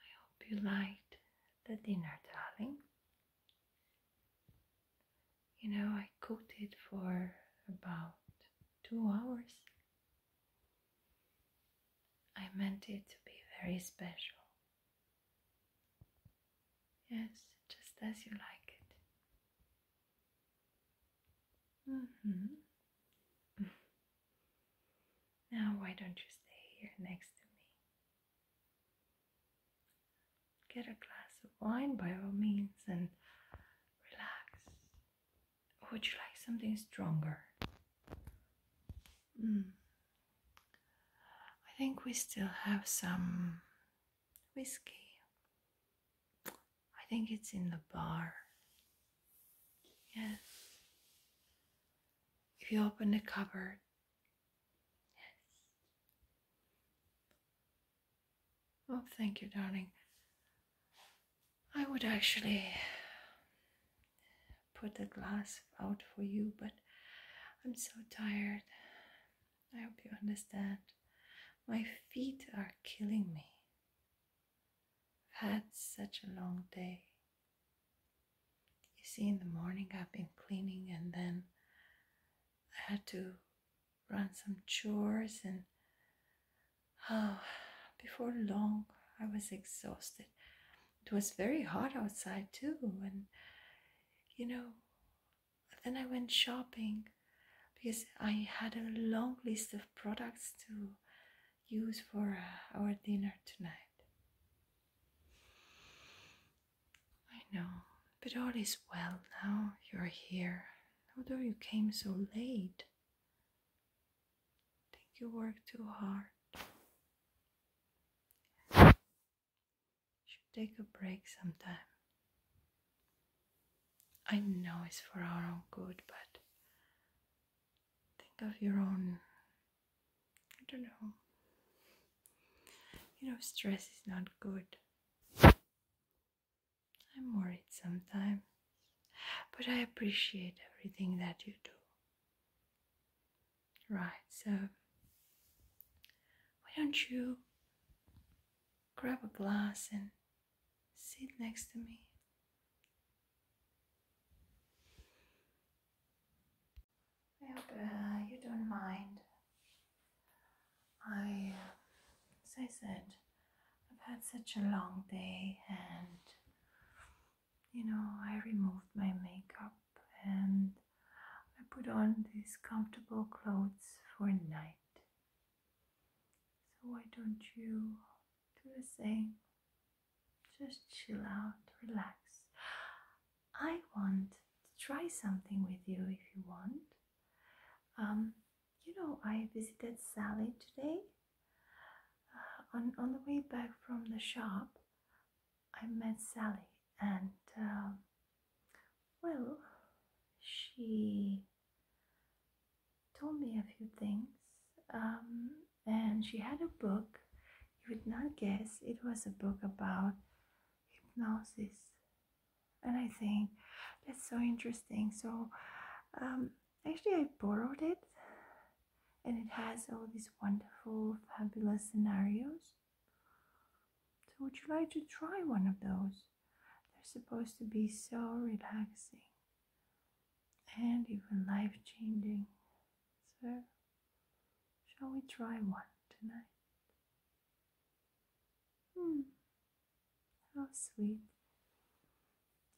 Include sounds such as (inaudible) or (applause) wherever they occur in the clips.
I hope you liked the dinner, darling. You know, I cooked it for about two hours. I meant it to be very special. Yes, just as you like it. Mm hmm. Now, why don't you stay here next to me? Get a glass of wine by all means and relax. would you like something stronger? Mm. I think we still have some whiskey. I think it's in the bar. Yes. If you open the cupboard, yes. Oh, thank you, darling. I would actually put the glass out for you, but I'm so tired. I hope you understand. My feet are killing me. I've had such a long day. You see, in the morning I've been cleaning and then I had to run some chores and oh, before long I was exhausted. It was very hot outside too and you know, then I went shopping because I had a long list of products to use for uh, our dinner tonight. I know, but all is well now you're here, although you came so late. I think you work too hard. You should take a break sometime. I know it's for our own good, but think of your own. I don't know. You know, stress is not good. I'm worried sometimes, but I appreciate everything that you do. Right, so why don't you grab a glass and Sit next to me. I hope you don't mind. I, as I said, I've had such a long day, and you know, I removed my makeup and I put on these comfortable clothes for night. So, why don't you do the same? Just chill out, relax. I want to try something with you if you want. Um, you know, I visited Sally today. Uh, on, on the way back from the shop, I met Sally, and um, well, she told me a few things. Um, and she had a book. You would not guess it was a book about hypnosis. And I think that's so interesting. So um, actually, I borrowed it, and it has all these wonderful, fabulous scenarios. So would you like to try one of those? They're supposed to be so relaxing and even life changing. So, shall we try one tonight? Hmm, how sweet.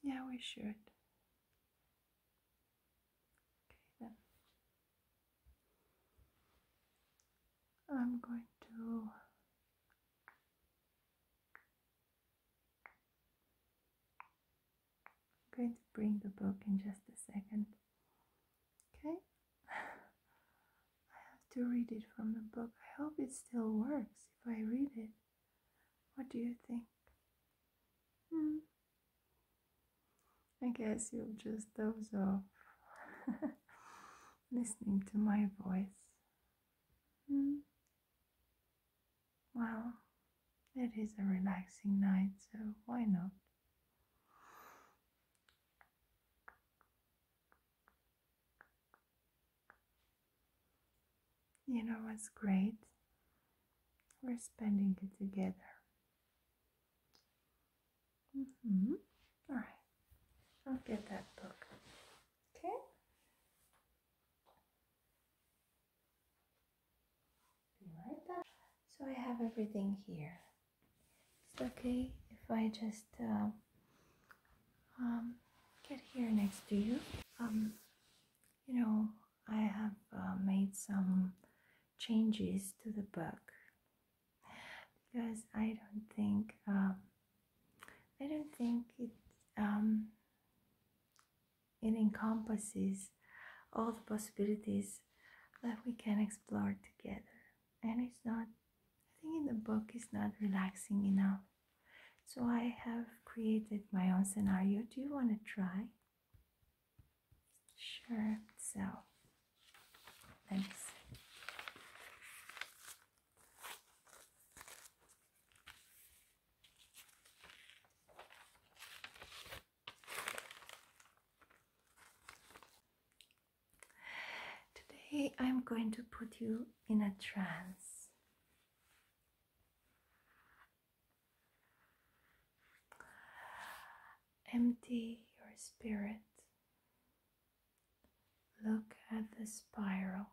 Yeah, we should. Okay, then. I'm going to I'm going to bring the book in just a second. Okay? I have to read it from the book. I hope it still works if I read it. What do you think? Hmm. I guess you'll just doze off (laughs) listening to my voice Mm. Well, it is a relaxing night, so why not? You know what's great? We're spending it together. Mm -hmm. All right, I'll get that book. Okay. So I have everything here. It's okay if I just uh, um, get here next to you. Um, you know, I have uh, made some changes to the book because I don't think um, I don't think it um, it encompasses all the possibilities that we can explore together, and it's not. I think in the book is not relaxing enough. So I have created my own scenario. Do you want to try? Sure. So let me Today I'm going to put you in a trance. Empty your spirit Look at the spiral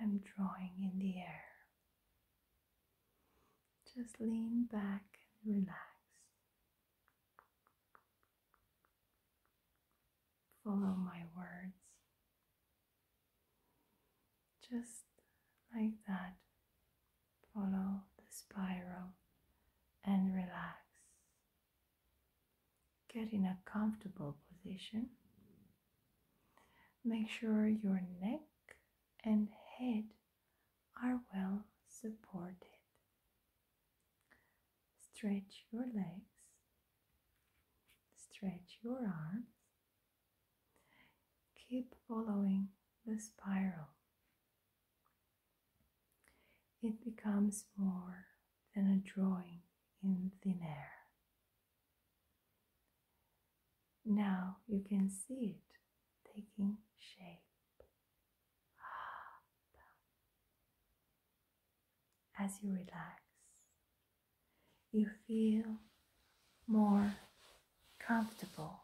I'm drawing in the air. Just lean back and relax. Follow my words. Just like that, follow the spiral and relax. Get in a comfortable position. Make sure your neck and head are well supported. Stretch your legs, stretch your arms. Keep following the spiral it becomes more than a drawing in thin air. Now you can see it taking shape. Ah, as you relax, you feel more comfortable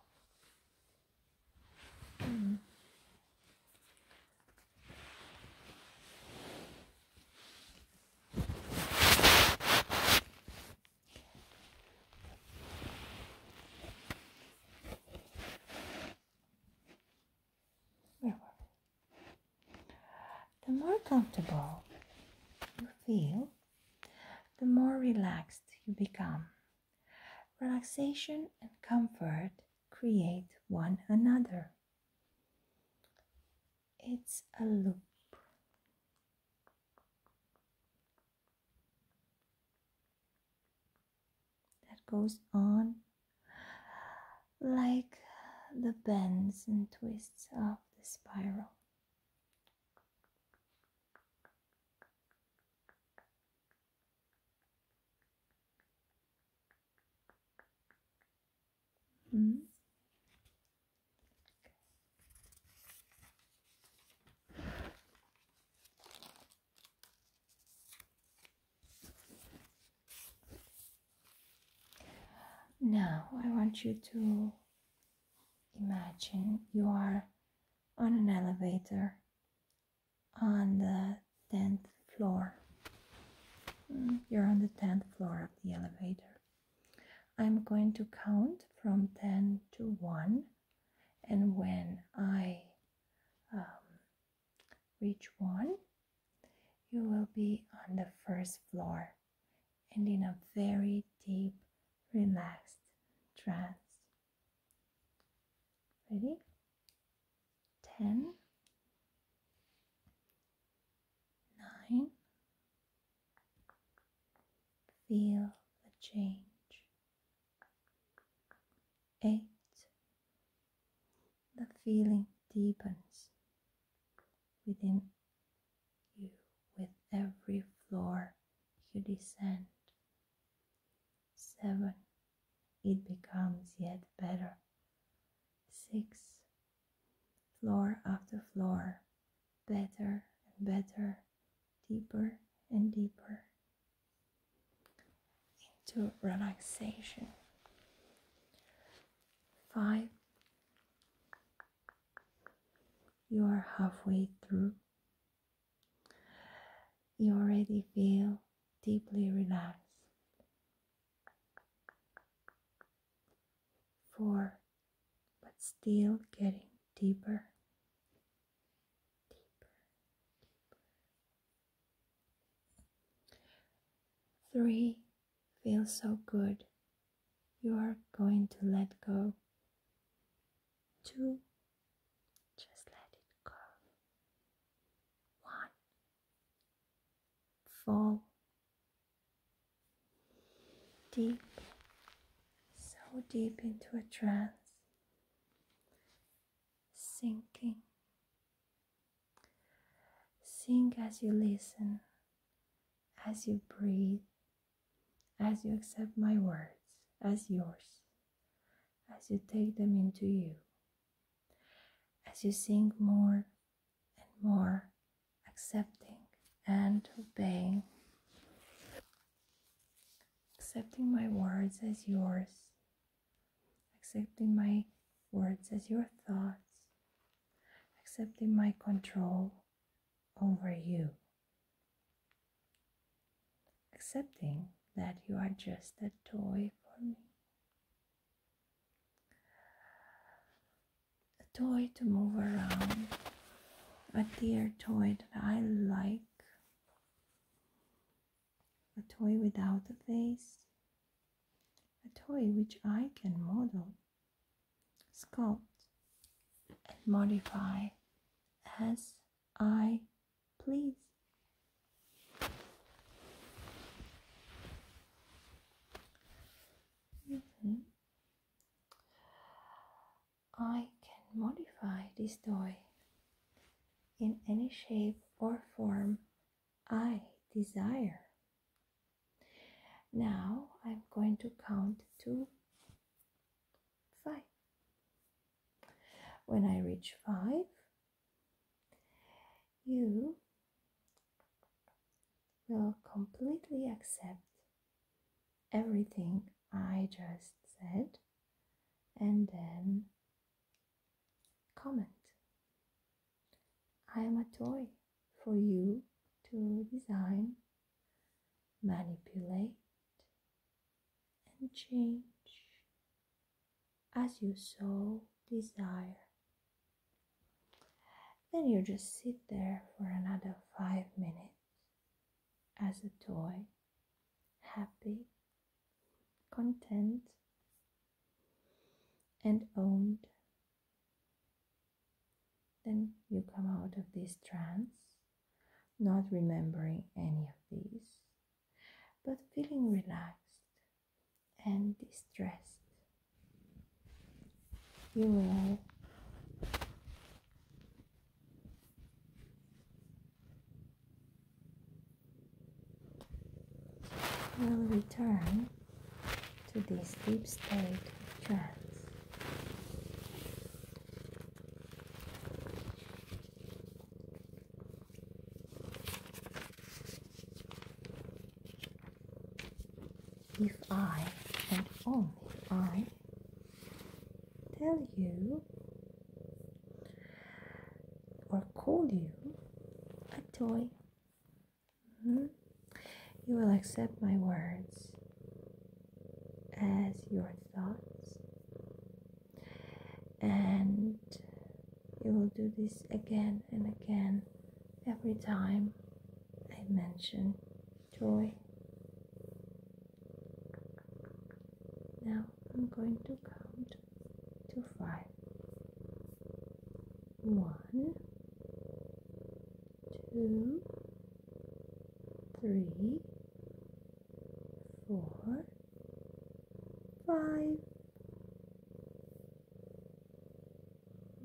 the more comfortable you feel, the more relaxed you become. Relaxation and comfort create one another. It's a loop. that goes on like the bends and twists of the spiral. Mm. Now, I want you to imagine you are on an elevator on the 10th floor. Mm, you're on the 10th floor of the elevator. I'm going to count from 10 to 1, and when I um, reach 1, you will be on the first floor and in a very deep, relaxed trance. Ready? Ten, nine. Feel the change. Eight. The feeling deepens within you with every floor you descend. Seven it becomes yet better. 6. Floor after floor, better and better, deeper and deeper into relaxation. 5. You are halfway through you already feel deeply relaxed. Four, but still getting deeper. Three, feels so good. You are going to let go. Two, just let it go. One, fall deep, so deep into a trance, sinking. sink as you listen, as you breathe, as you accept my words as yours, as you take them into you. As you sink more and more, accepting and obeying, accepting my words as yours, accepting my words as your thoughts, accepting my control over you accepting that you are just a toy for me. A toy to move around, a dear toy that I like, a toy without a face, a toy which I can model, sculpt, and modify as I please. I can modify this toy in any shape or form I desire. Now I'm going to count to 5. When I reach 5, you will completely accept everything I just said and then comment. I am a toy for you to design, manipulate, and change as you so desire. Then you just sit there for another five minutes as a toy, happy, content, and owned. Then you come out of this trance not remembering any of these, but feeling relaxed and distressed. You will will return to this deep state of trance if I and only I tell you or call you a toy, hmm, you will accept my words as your thoughts, and you will do this again and again every time I mention joy. Now I'm going to count to five. One, two, three four, five.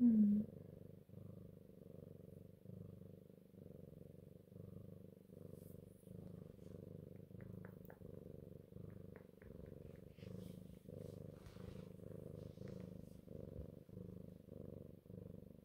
Mm.